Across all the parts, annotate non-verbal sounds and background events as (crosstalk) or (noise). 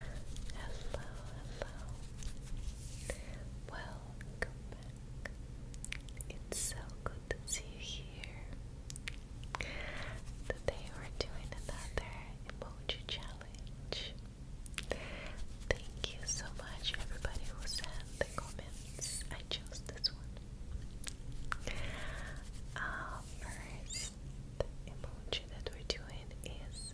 Hello, hello. Welcome back. It's so good to see you here. Today we're doing another emoji challenge. Thank you so much, everybody who sent the comments. I chose this one. Our uh, first emoji that we're doing is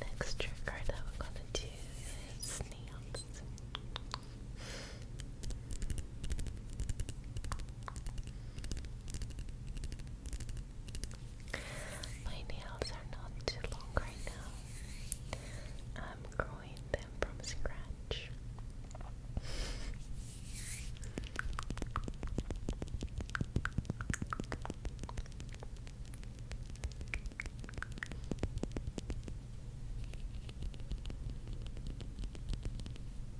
Next trigger that we're gonna do is nails. My nails are not too long right now. I'm growing them from scratch.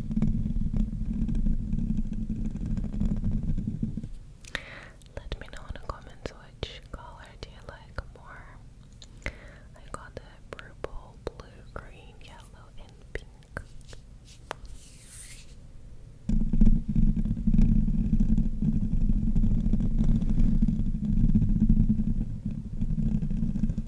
Let me know in the comments which color do you like more. I got the purple, blue, green, yellow, and pink.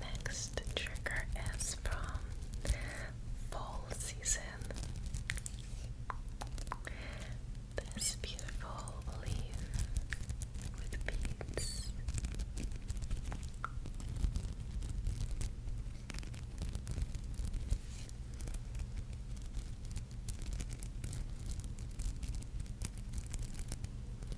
Next trigger is from Fall Season. This beautiful leaf with beads.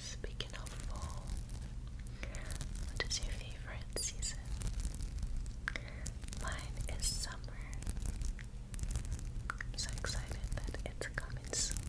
Speaking of fall, what is your favorite season? Mine is summer. I'm so excited that it's coming soon.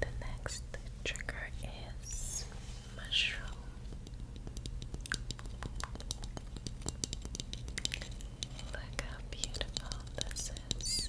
The next trigger is mushroom. Look how beautiful this is.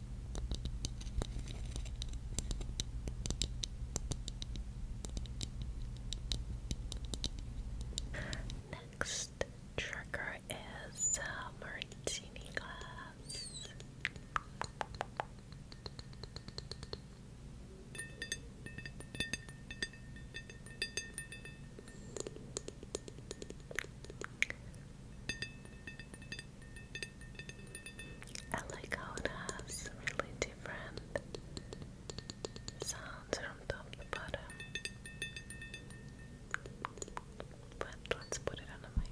Next trigger is uh, martini glass. I like how it has really different sounds from top to bottom. But let's put it on a mic.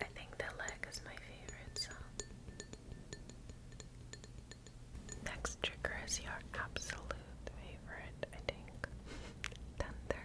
I think the leg is my favorite, song. Next trigger is your absolute favorite, I think. (laughs) Thunder.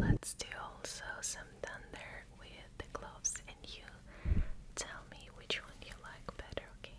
Let's do also some thunder with the gloves, and you tell me which one you like better, okay?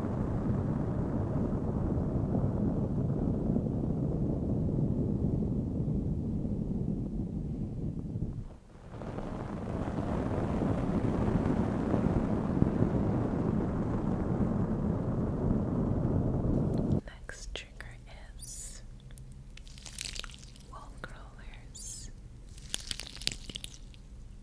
Next trigger is wall crawlers.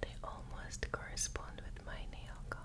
They almost correspond with my nail color.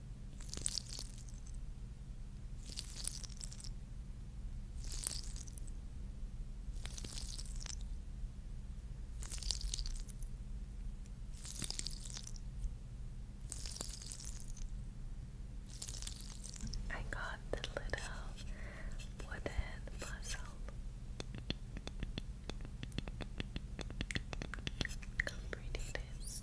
I got the little wooden puzzle. How pretty it is.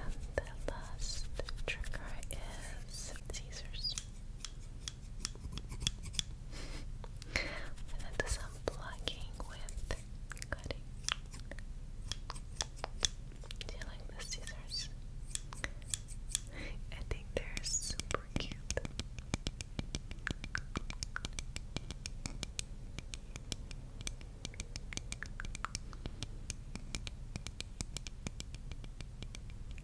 And the last trigger is Caesar's and then some plucking with cutting. Do you like the scissors? I think they're super cute.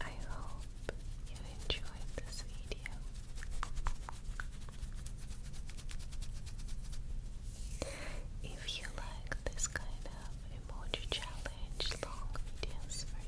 I hope you enjoyed this video. If you like this kind of emoji challenge, long videos